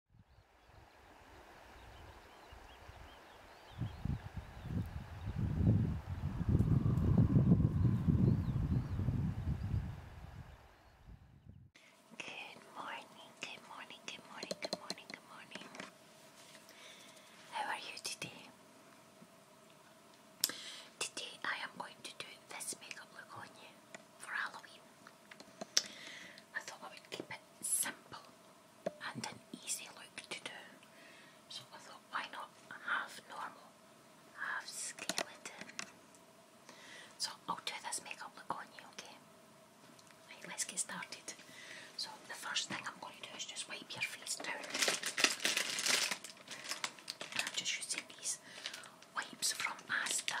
Good morning, good morning, good morning, good morning, good morning. How are you today? Today I am going to do this makeup look on you for Halloween. I thought I would keep it simple and an easy look to do. So I thought, why not have normal, half skeleton? So I'll do this makeup look on you, okay? let's get started. So the first thing I'm going to do is just wipe your face down. I'm just using these wipes from Master.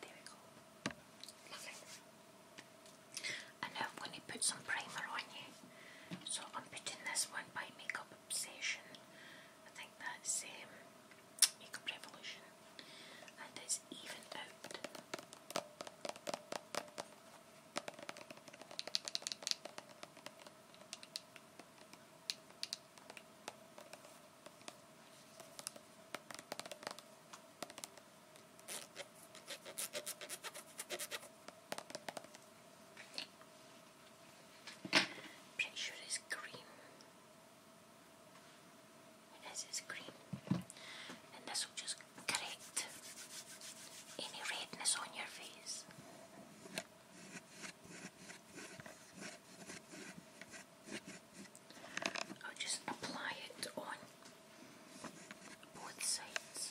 There we go. Lovely. And now I'm going to put some primer on you. So I'm putting this one by Makeup Obsession. I think that's um, Makeup Revolution. And it's even out. Pretty sure green. It is, it's green. And this will just correct any redness on your face. I'll just apply it on both sides.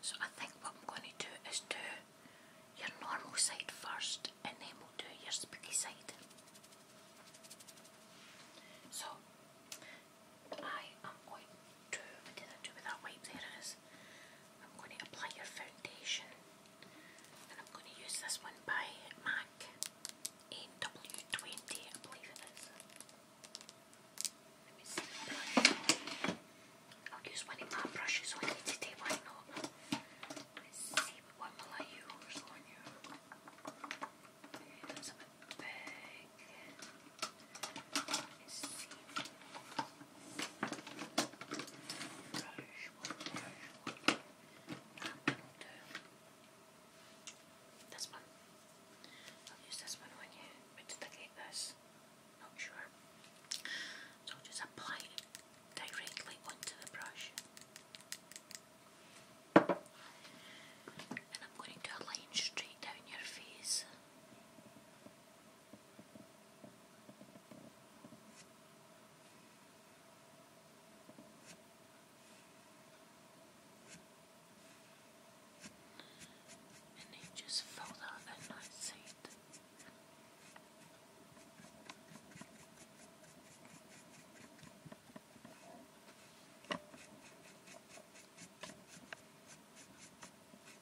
So I think what I'm going to do is do your normal side first and then we'll do your spooky side. So I am going I I'm going to apply your foundation and I'm going to use this one by MAC AW20, I believe it is. Let I'll use one of my brushes on today, why not? Let's see, what will I use on you? Let's see. This one. I'll use this one when you which this. Not sure. So I'll just apply directly onto the brush. And I'm going to align straight down your face. And he just found out a nice seat.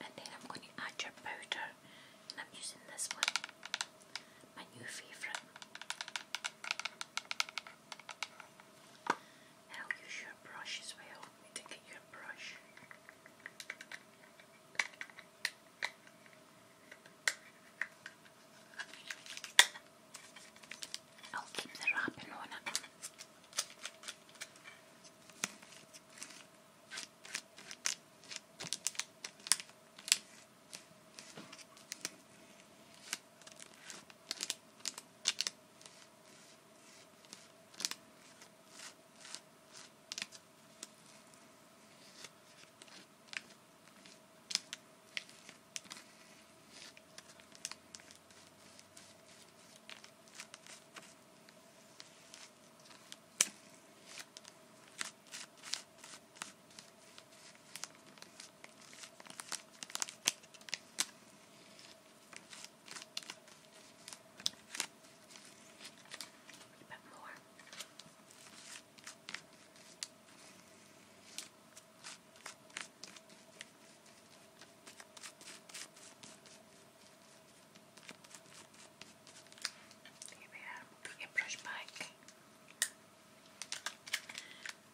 And then I'm going to add your powder, and I'm using this one, my new favourite. And use your brush as well. I your brush. I'll keep the wrapping on it. A bit more. Here we are, back.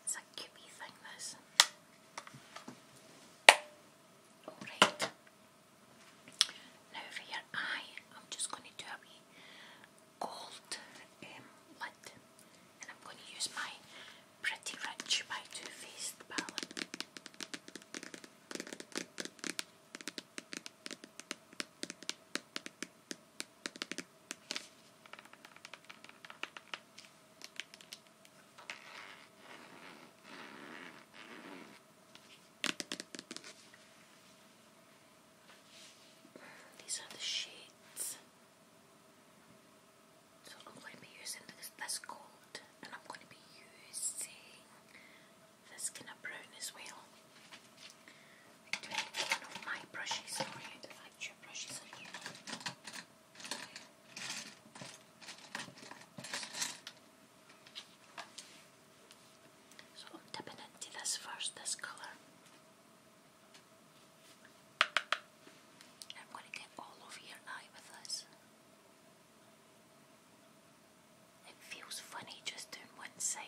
It's a cute thing, this. Alright. Now for your eye, I'm just going to do a wee gold um, lid. And I'm going to use my Pretty Rich by Too Faced palette. These are the shades. So I'm going to be using this, this gold and I'm going to be using this kind of brown as well. Do I have one my brushes brushes are here? So I'm dipping into this first, this colour. I'm going to get all over your eye with this. It feels funny just doing one side.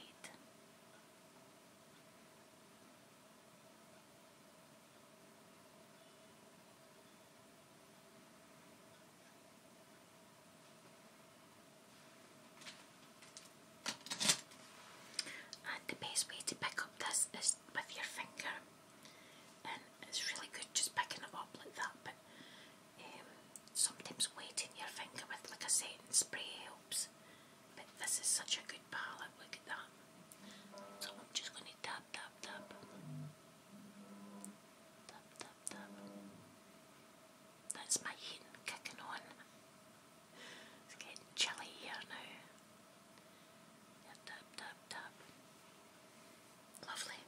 And the best way to pick up this is with your finger, and it's really good just picking it up like that. But um, sometimes weighting your finger with like a setting spray helps. But this is such a good palette. Look at that. So I'm just going to tap, tap, tap, tap, tap, That's my heating kicking on. It's getting chilly here now. Yeah, dab, dab, Lovely.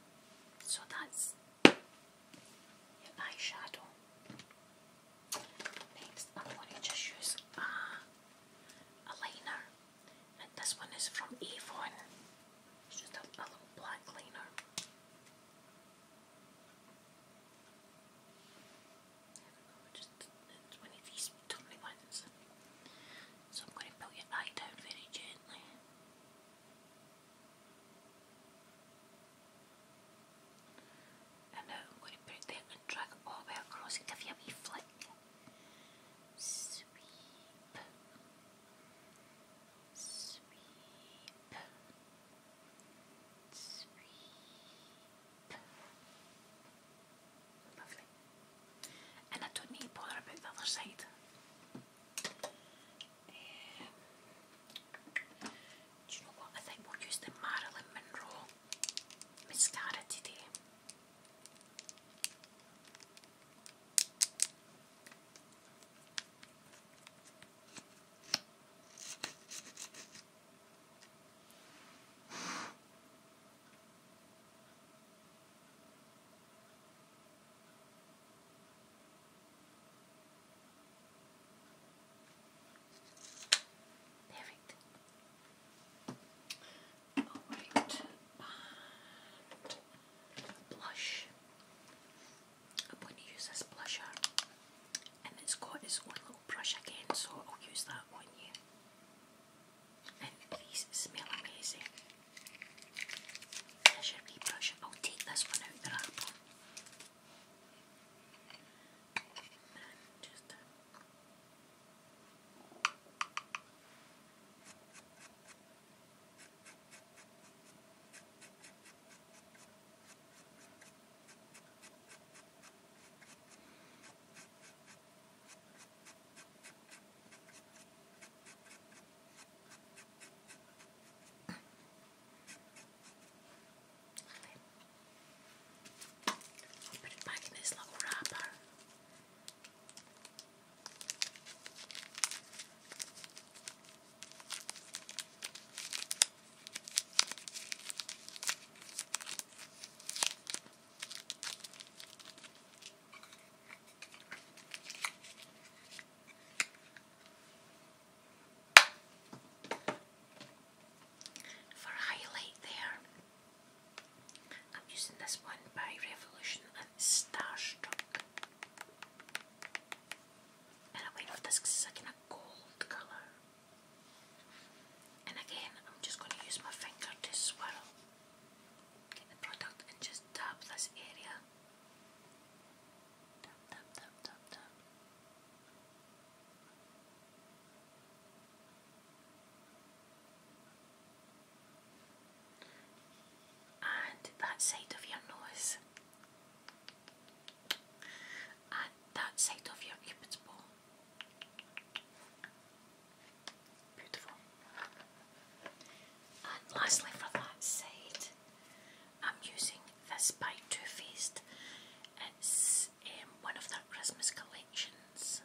So that's your eyeshadow. Next, I'm going to just use a, a liner, and this one is from Avon. It's just a little black liner. I So I'm going to put your eye down very gently. I'm going to put it and drag all the way across and give you a wee flick. Sweep. Sweep. Sweep. Lovely. And I don't need to bother about the other side. Um, do you know what? I think we'll use the Marilyn Monroe mascara today. Perfect. Alright, blush. I'm going to use this blusher, and it's got its brush again, so I'll use that one here. And these smell amazing. There's your brush. I'll take this one out the I'll put it back in this little wrapper. For highlight there, I'm using this one by Revolution and Starstruck. And I went with this because gold colour. And again, I'm just going to use my finger to swirl, get the product and just dab this area. Dab, dab, dab, dab, dab. And that side of your nose, and that side of your Cupid's bow, Beautiful. And lastly for that side, I'm using this by Too Faced. It's um, one of their Christmas collections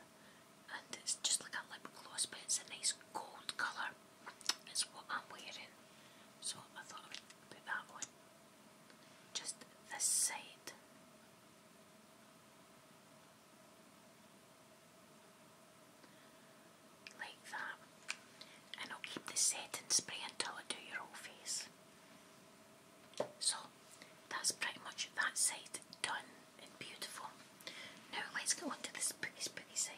and it's just like a lip gloss but it's a nice gold colour. It's what I'm wearing. So I thought I would put that one. Just the sight like that. And I'll keep the setting spray until I do your whole face. So that's pretty much that side done and beautiful. Now let's go on to the spooky spooky side.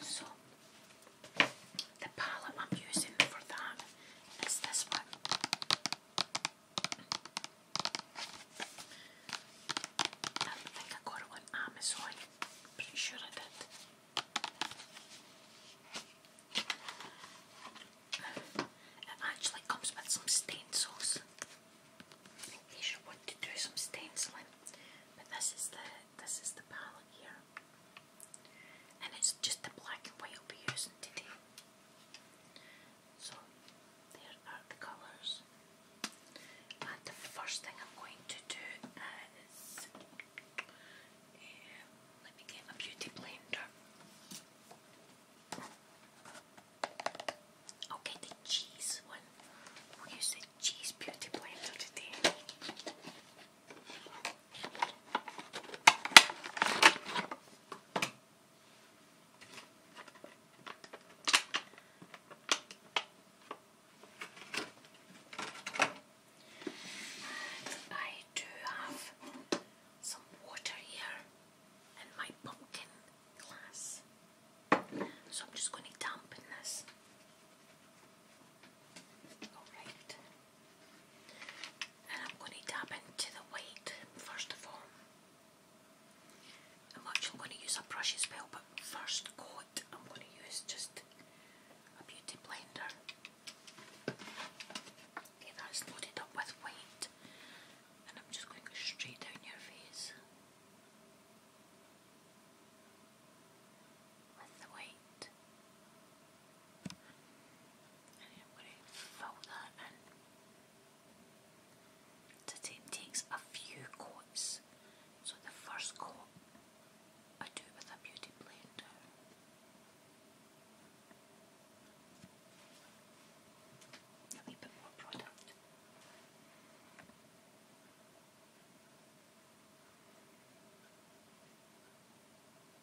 So the palette I'm using for that is this one. I think I got it Amazon. Pretty sure I did. It actually comes with some stencils. I think they should want to do some stenciling. But this is the this is the palette here and it's just the black and white I'll be using today. So there are the colours. And the first thing I'm going to do is um, let me get my beauty blender. i the cheese one. We'll use the cheese beauty blender today. I do have some water here in my pumpkin glass, so I'm just going to dampen this. Alright. And I'm going to tap into the white first of all. I'm actually going to use a brush as well, but first coat I'm going to use just a beauty blender. Okay, that's loaded up with white. And I'm just going straight down your face. With the white. And takes a few coats. So the first coat I do it with a beauty blender. A wee bit more product.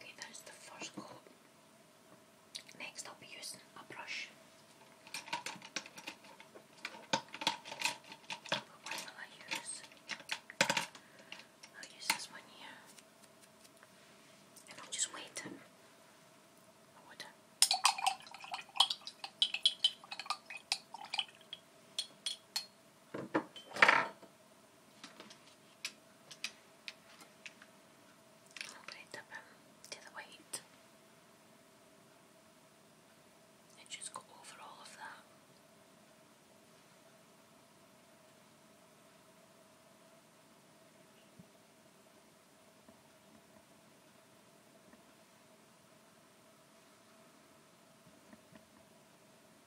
Okay, that's the first coat. Next, I'll be using a brush. But what will I use? I'll use this one here. And I'll just wait. I I'm going to dip him to the white and just go over all of that.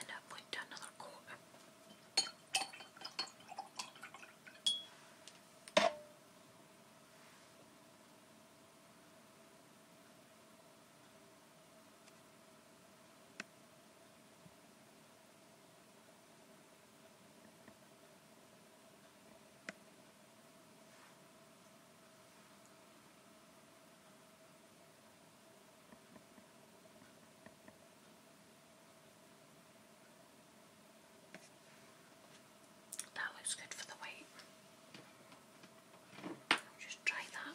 and I went to another corner. That looks good for the weight. I'll just try that.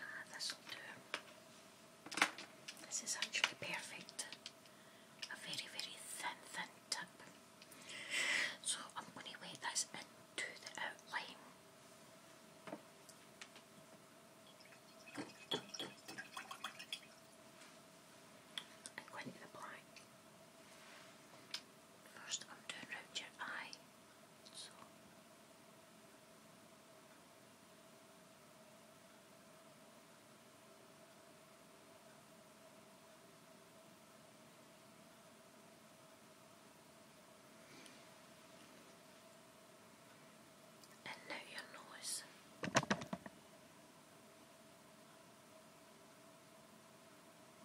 Ah, this'll do. This is actually perfect. A very, very thin, thin tip. So I'm going to weigh this into the outline. And go into the black. First, I'm doing round your eye. So. And your nose.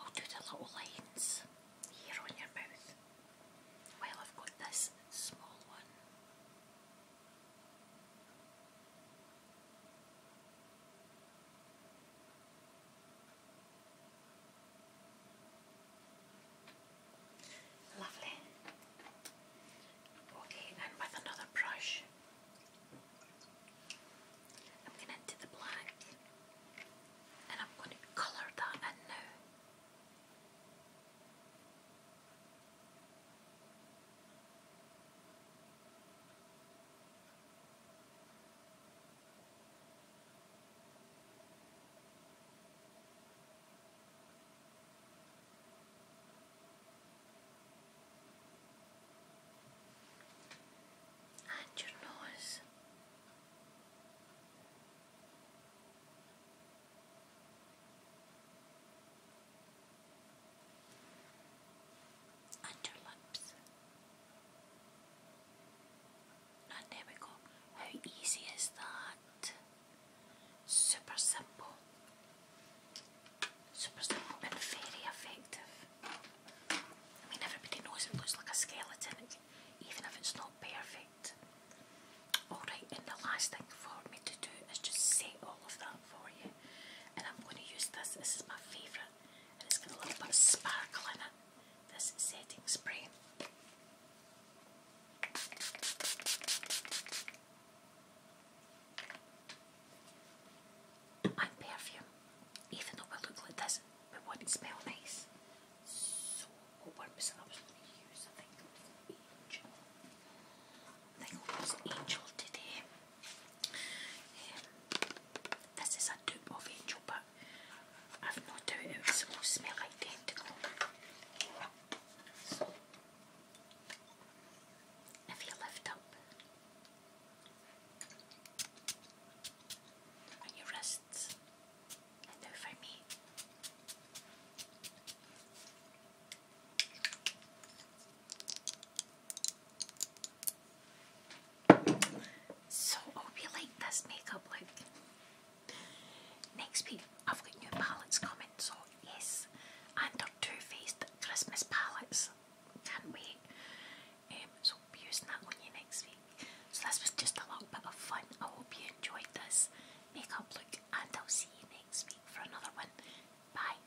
I'll do the little lines here on your mouth. Well, I've got this small one. Lovely. Okay, and with another brush, I'm going into the black and I'm going to colour that in now. And your nose. Underlips. And there we How easy is that? Super simple. Super simple and very effective. I mean, everybody knows it looks like a skeleton, even if it's not perfect. Alright, and the last thing for me to do is just say all of that for you. And I'm going to use this, this is my favourite, and it's got a little bit of sparkle in it. This setting spray and perfume, even though we look like this, we want to smell nice. what think it was Angel. today. Um, this is a dupe of Angel, but I've no doubt it will smell identical. if you lift up and you rest and do for me. So hope you like this makeup look. Next week I've got new palettes coming, so yes, and our Too Faced Christmas palettes. Can't wait. Um, so we'll be using that on you next week. So this was just a little bit of fun. I hope you enjoyed this makeup look and I'll see you next week for another one. Bye.